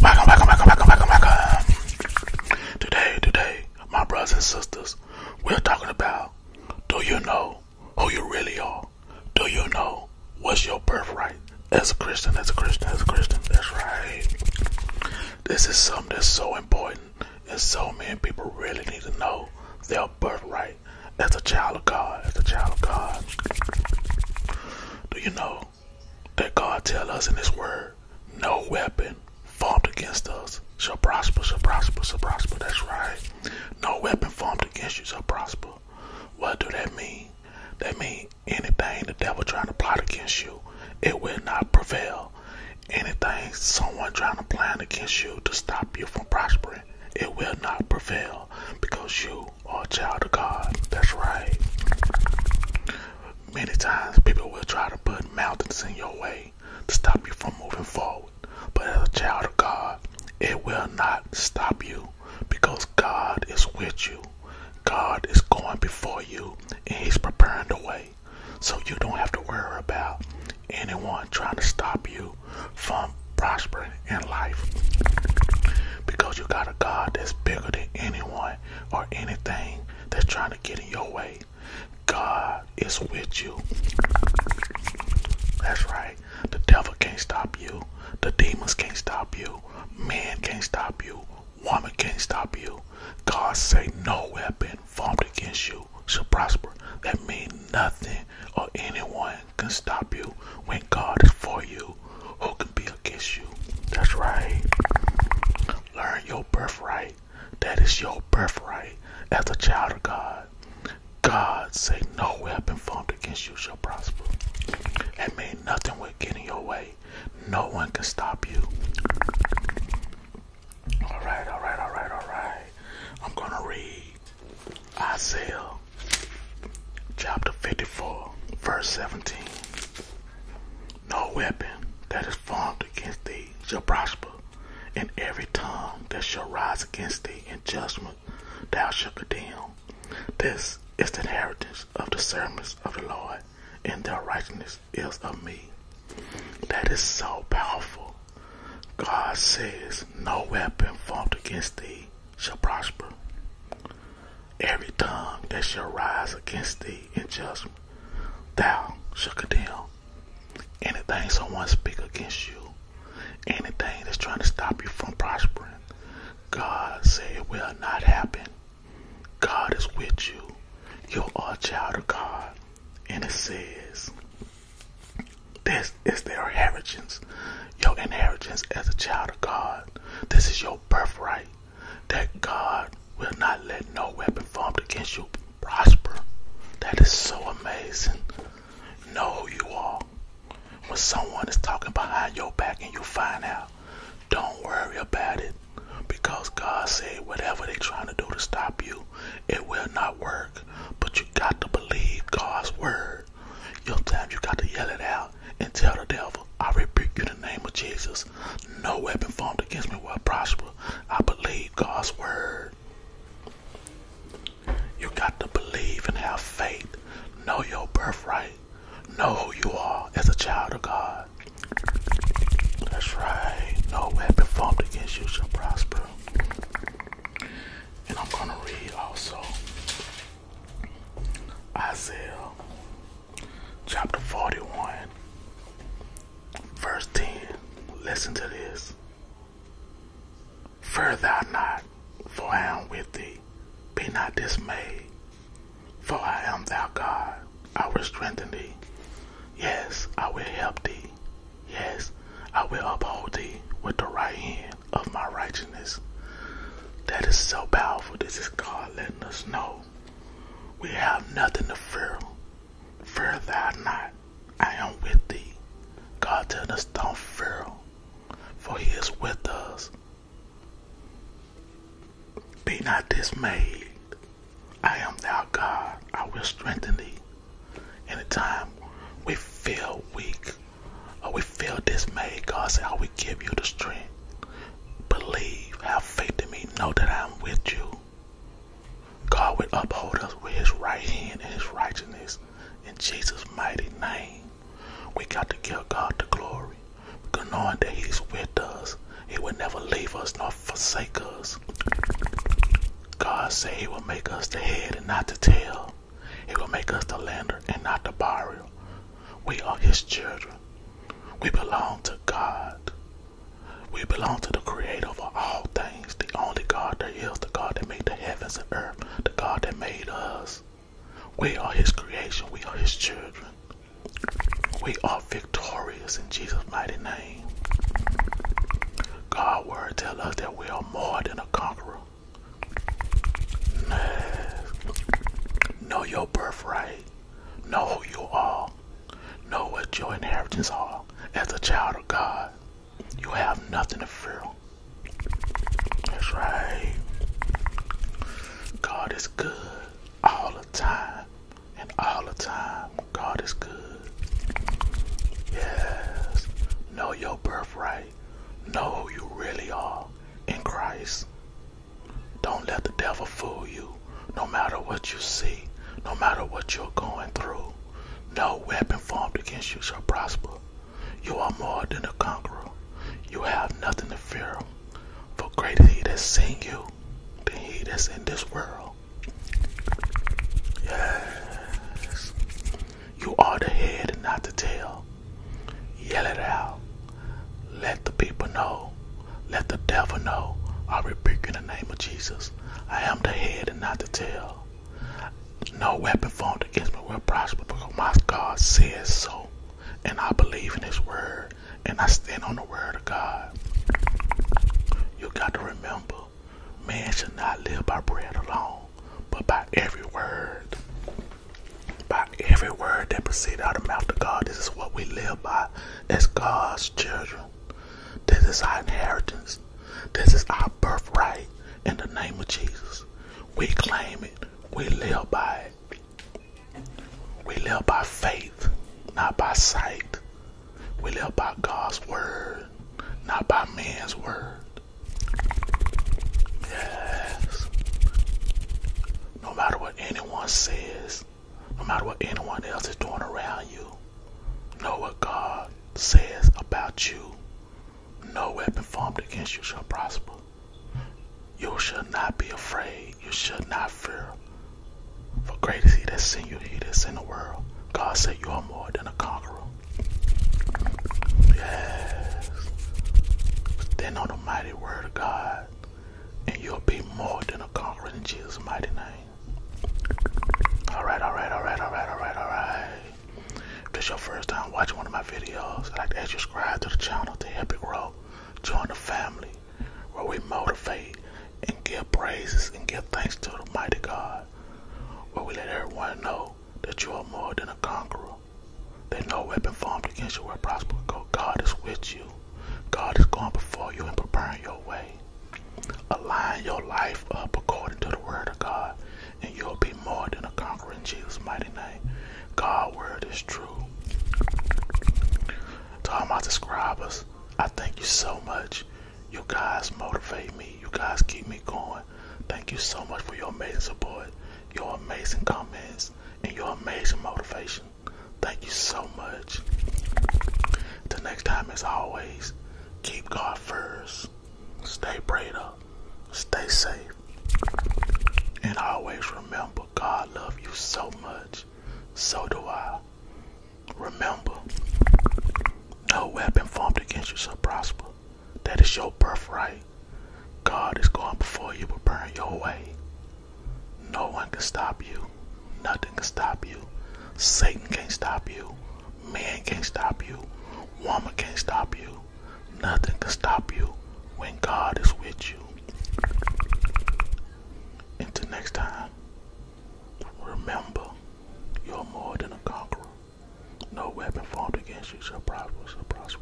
Welcome, welcome, welcome, welcome, welcome, welcome. Today, today, my brothers and sisters, we're talking about do you know who you really are? Do you know what's your birthright? As a Christian, as a Christian, as a Christian, that's right. This is something that's so important, and so many people really need to know their birthright as a child of God, as a child of God. Do you know that God tell us in his word, no weapon formed against us shall prosper, shall prosper, shall prosper. That's right. No weapon formed against you shall prosper. What do that mean? That mean anything the devil trying to plot against you, it will not prevail. Anything someone trying to plan against you to stop you from prospering, it will not prevail because you you child of God. That's right. Many times people will try to put mountains in your way to stop you from moving forward. But as a child of God, it will not stop you because God is with you. God is going before you and He's preparing the way. So you don't have to worry about anyone trying to stop you from prospering in life because you got a God that's bigger than anyone or anything that's trying to get in your way. God is with you. That's right. The devil can't stop you. The demons can't stop you. Man can't stop you. Woman can't stop you. God say no weapon formed against you shall prosper. That means nothing or anyone can stop you when God is for you who can be against you. That's right. Learn your birthright. That is your birthright as a child of God. God say no weapon formed against you shall prosper. And may nothing will get in your way. No one can stop you. Alright, alright, alright, alright. I'm gonna read I Isaiah chapter 54, verse 17. No weapon that is formed against thee shall prosper, and every tongue that shall rise against thee in judgment thou shalt condemn. This is the inheritance of the servants of the Lord, and their righteousness is of me. That is so powerful. God says, No weapon formed against thee shall prosper. Every tongue that shall rise against thee in judgment, thou shall condemn. Anything someone speak against you, anything that's trying to stop you from prospering, God said it will not happen. God is with you. You are a child of God. And it says, this is their inheritance your inheritance as a child of God. This is your birthright that God will not let no weapon formed against you prosper. That is so amazing. Know who you are. When someone is talking behind your back and you find out, don't worry about it. Because God said whatever they trying to do to stop you, it will not work. But you got to believe God's word. Sometimes you got to yell it out and tell the devil, I rebuke you in the name of Jesus. No weapon formed against me will prosper. I believe God's word. You got to believe and have faith. Know your birthright. Know who you are as a child of God. That's right. No weapon formed against you shall prosper. And I'm going to read also Isaiah chapter 41, verse 10. Listen to this. Fear thou not, for I am with thee. Be not dismayed, for I am thy God. I will strengthen thee. Yes, I will help thee. Yes, I will uphold thee with the right hand of my righteousness. That is so powerful. This is God letting us know we have nothing to fear. Fear thou not. I am with thee. God tell us don't fear, for he is with us. Be not dismayed. I am thou God. I will strengthen thee. Anytime we feel weak or we feel dismayed, God said, I will give you the strength. Believe, have faith in me, know that I'm with you. God will uphold us with his right hand and his righteousness in Jesus' mighty name. We got to give God the glory because knowing that he's with us, he will never leave us nor forsake us. God said he will make us the head and not the tail. He will make us the lender and not the borrower. We are his children. We belong to God. We belong to the creator of all things, the only God that is the God that made the heavens and earth, the God that made us. We are his creation. We are his children. We are victorious in Jesus' mighty name. God's word tells us that we are more than a conqueror. Know your birthright. Know who you are. Know what your inheritance are. As a child of God, you have nothing to fear. That's right. God is good all the time. And all the time, God is good. Yes. Know your birthright. Know who you really are in Christ. Don't let the devil fool you. No matter what you see, no matter what you're going through, no weapon formed against you shall prosper. You are more than a conqueror. You have nothing to fear. For greater he that's seen you than he that's in this world. Yes. You are the head and not the tail. Yell it out. Let the people know. Let the devil know. I rebuke in the name of Jesus. I am the head and not the tail. No weapon formed against me will prosper because my God says so. And I believe in his word. And I stand on the word of God. You got to remember, man should not live by bread alone, but by every word by every word that proceeds out of the mouth of God. This is what we live by as God's children. This is our inheritance. This is our birthright in the name of Jesus. We claim it. We live by it. We live by faith, not by sight. We live by God's word, not by man's word. Yes no matter what anyone says, no matter what anyone else is doing around you, know what God says about you. No weapon formed against you shall prosper. You shall not be afraid. You shall not fear. For great is he that in you, he that in the world. God said you are more than a conqueror. Yes. Stand on the mighty word of God and you'll be more than a conqueror in Jesus' mighty name. Alright, alright, alright, alright, alright, alright. If this is your first time watching one of my videos, I'd like to ask you to subscribe to the channel to help it grow. Join the family where we motivate and give praises and give thanks to the mighty God. Where we let everyone know that you are more than a conqueror that no weapon formed against you will prosper. God is with you. God is going before you and preparing your way. Align your life up according to the word of God, and you'll be more than a conqueror in Jesus' mighty name. God' word is true. To all my subscribers, I thank you so much. You guys motivate me. You guys keep me going. Thank you so much for your amazing support, your amazing comments, and your amazing motivation. Thank you so much. Till next time, as always, keep God first. Stay prayed up. Stay safe. And always remember, God loves you so much. So do I. Remember, no weapon formed against you shall prosper. That is your birthright. God is going before you, burn your way. No one can stop you. Nothing can stop you. Satan can't stop you. Man can't stop you. Woman can't stop you. Nothing can stop you when God is with you. Until next time, remember you're more than a conqueror. No weapon formed against you shall prosper, prosper.